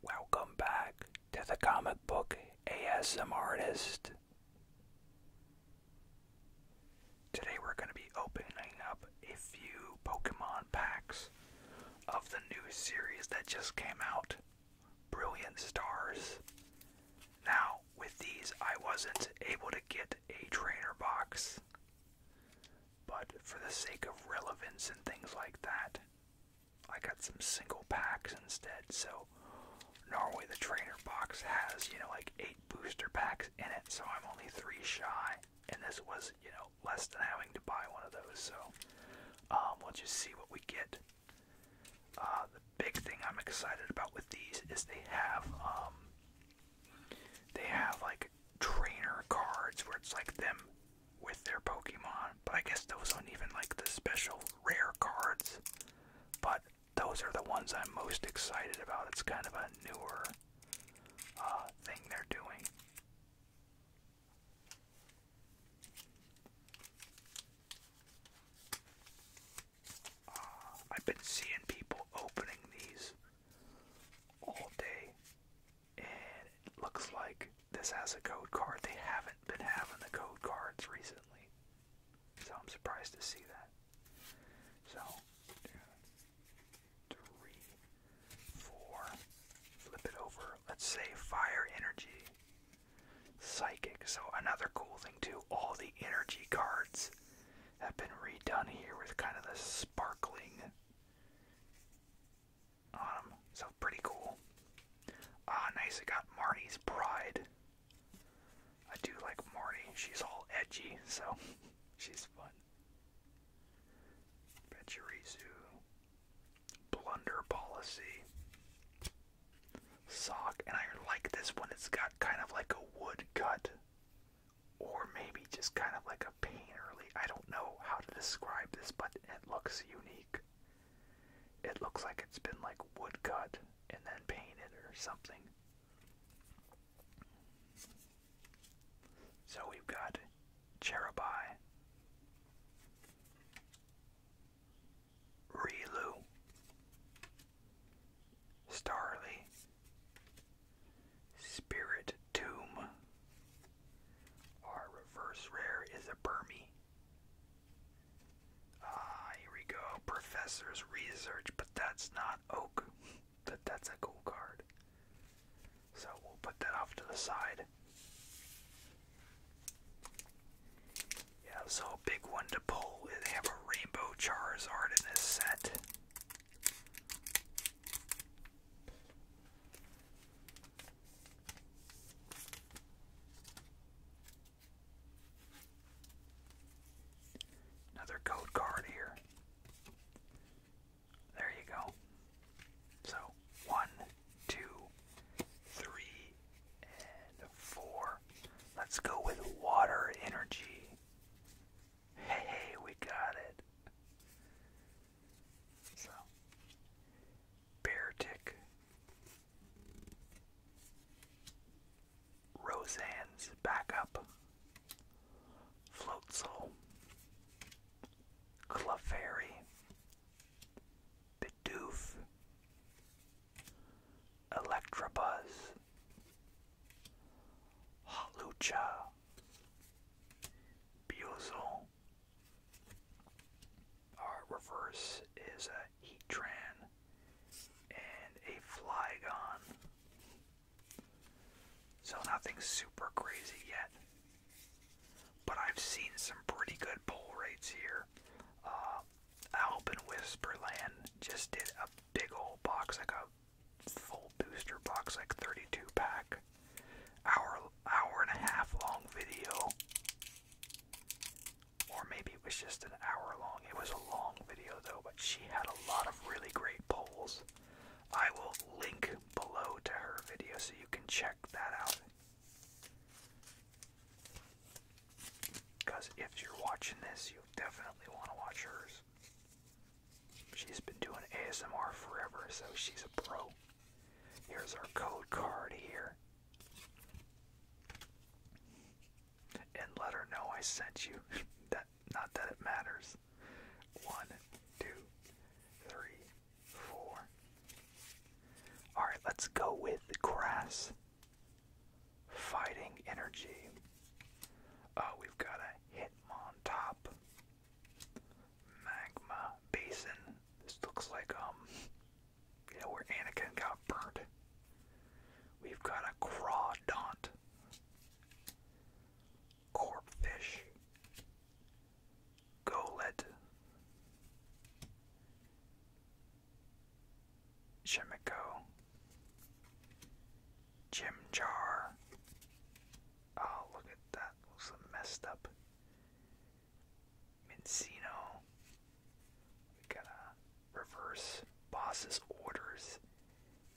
Welcome back to the comic book ASM artist. Today we're going to be opening up a few Pokemon packs of the new series that just came out, Brilliant Stars. Now, with these, I wasn't able to get a trainer box, but for the sake of relevance and things like that, I got some single packs instead. So Norway, the trainer box has, you know, like eight booster packs in it, so I'm only three shy. And this was, you know, less than having to buy one of those. So um, we'll just see what we get. Uh, the big thing I'm excited about with these is they have, um, they have like trainer cards where it's like them with their Pokemon. But I guess those aren't even like the special rare cards. But those are the ones I'm most excited about. It's kind of a newer uh, thing they're doing. Uh, I've been seeing people opening these all day and it looks like this has a code card. They haven't been having the code cards recently, so I'm surprised to see that. So, two, three, four, flip it over. Let's say fire energy, psychic. So, another cool thing, too, all the energy cards have been redone here with kind of the sparkling um, so pretty cool. Ah, nice. I got Marty's Pride. I do like Marty. She's all edgy, so she's fun. Pachirisu. Blunder Policy. Sock. And I like this one. It's got kind of like a wood cut or maybe just kind of like a painterly. I don't know how to describe this, but it looks unique. It looks like it's been like woodcut and then painted or something. So we've got Cherubai, Rilu, Starly, Spirit Tomb. Our reverse rare is a Burmy. Ah, here we go. Professor's Research, but that's not Oak. That that's a cool card. So we'll put that off to the side. Yeah, so a big one to pull. They have a Rainbow Charizard in this set. Another code card here. There you go. So one, two, three, and four. Let's go with water energy. Hey, we got it. So, bear tick. Roseanne's backup. Floatzel. Clefairy. Bidoof. Electrobuzz. Halucha, Buzel. Our reverse is a Heatran and a Flygon. So nothing super crazy yet. But I've seen some pretty good pull rates here. Uh, Alp and just did a big old box, like full booster box, like 32 pack, hour hour and a half long video, or maybe it was just an hour long. It was a long video though, but she had a lot of really great polls. I will link below to her video so you can check that out. Because if you're watching this, you definitely want to watch hers. She's been doing ASMR forever, so she's a pro. Here's our code card here. And let her know I sent you. that not that it matters. One, two, three, four. Alright, let's go with the grass. Fighting energy. Uh, we've got a Hitmontop. Magma Basin. This looks like, um, where Anakin got burnt. We've got a Crawdont. Corpfish. Golet. Shimiko, Jim Jar. Oh, look at that. Looks messed up. Mincino. We gotta uh, reverse boss's orders.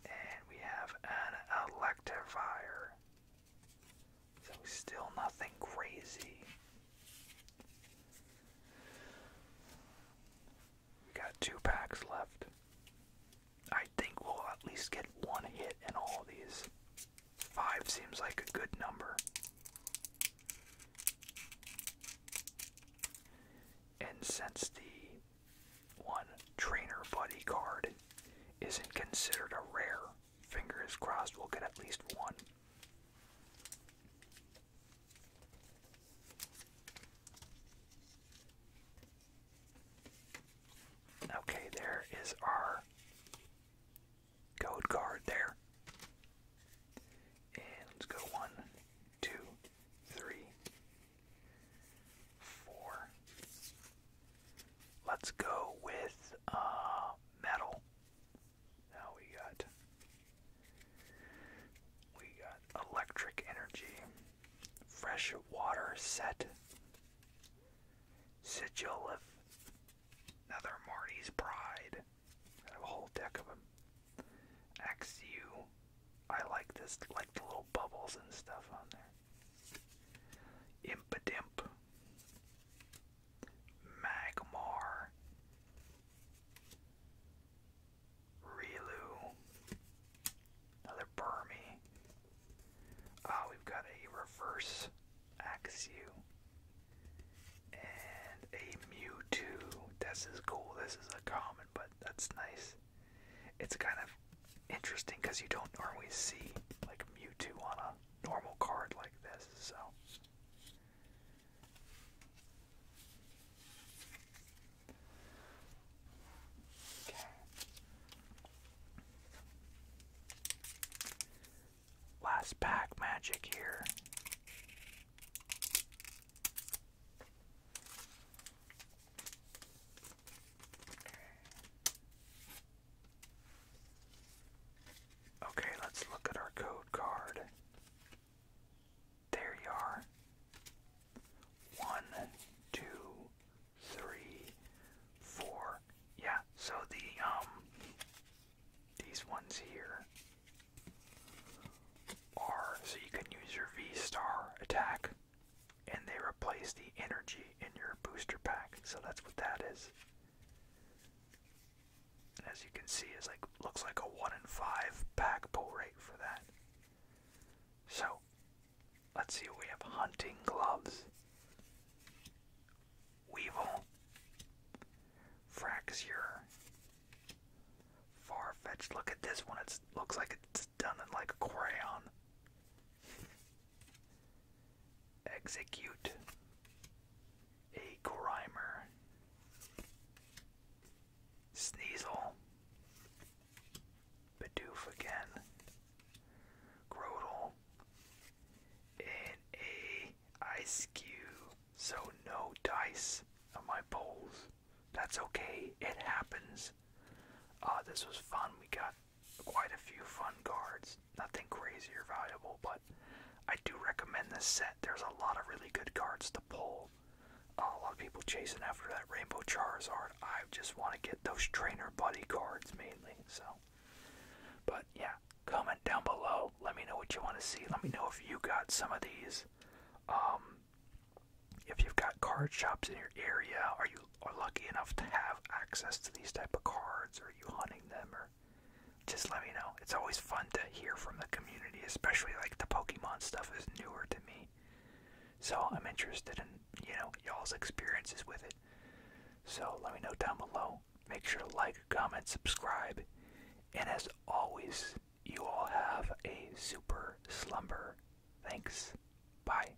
And we have an Electivire. So still nothing crazy. We got two packs left. I think we'll at least get one hit in all these. Five seems like a good number. And since the one trainer buddy card isn't considered a rare, fingers crossed we'll get at least one. Okay, there is our code card there. And let's go one, two, three, four. Let's go with uh, metal. Now we got we got electric energy, fresh water set, sigil of another Marty's pride. I a whole deck of them. XU. I like this, like the little bubbles and stuff on there. Impadimp. Magmar, Rilu, another Burmy. Ah, we've got a reverse Axew and a Mewtwo. This is cool. This is a common, but that's nice. It's kind of interesting because you don't normally see like Mewtwo on a normal card like this, so Okay. Last pack magic here. Okay, let's look at our code card. There you are. One, two, three, four. Yeah, so the, um, these ones here are, so you can use your V-Star attack, and they replace the energy in your booster pack, so that's what that is as you can see, it's like looks like a one in five pack pull rate for that. So let's see what we have. Hunting gloves. Weevil. Fraxure. Far fetched. Look at this one. It looks like it's done in like a crayon. Execute a Grimer. Sneasel. Bidoof again. Grodle. And a Ice Cube. So no dice on my bowls. That's okay. It happens. Uh, this was fun. We got quite a few fun cards. Nothing crazy or valuable, but I do recommend this set. There's a lot of really good cards to pull. Uh, a lot of people chasing after that Rainbow Charizard. I just want to get those trainer buddy cards mainly. So, but yeah, comment down below. Let me know what you want to see. Let me know if you got some of these. Um, if you've got card shops in your area, are you are lucky enough to have access to these type of cards, or are you hunting them, or just let me know. It's always fun to hear from the community, especially like the Pokemon stuff is newer to me. So I'm interested in, you know, y'all's experiences with it. So let me know down below. Make sure to like, comment, subscribe. And as always, you all have a super slumber. Thanks. Bye.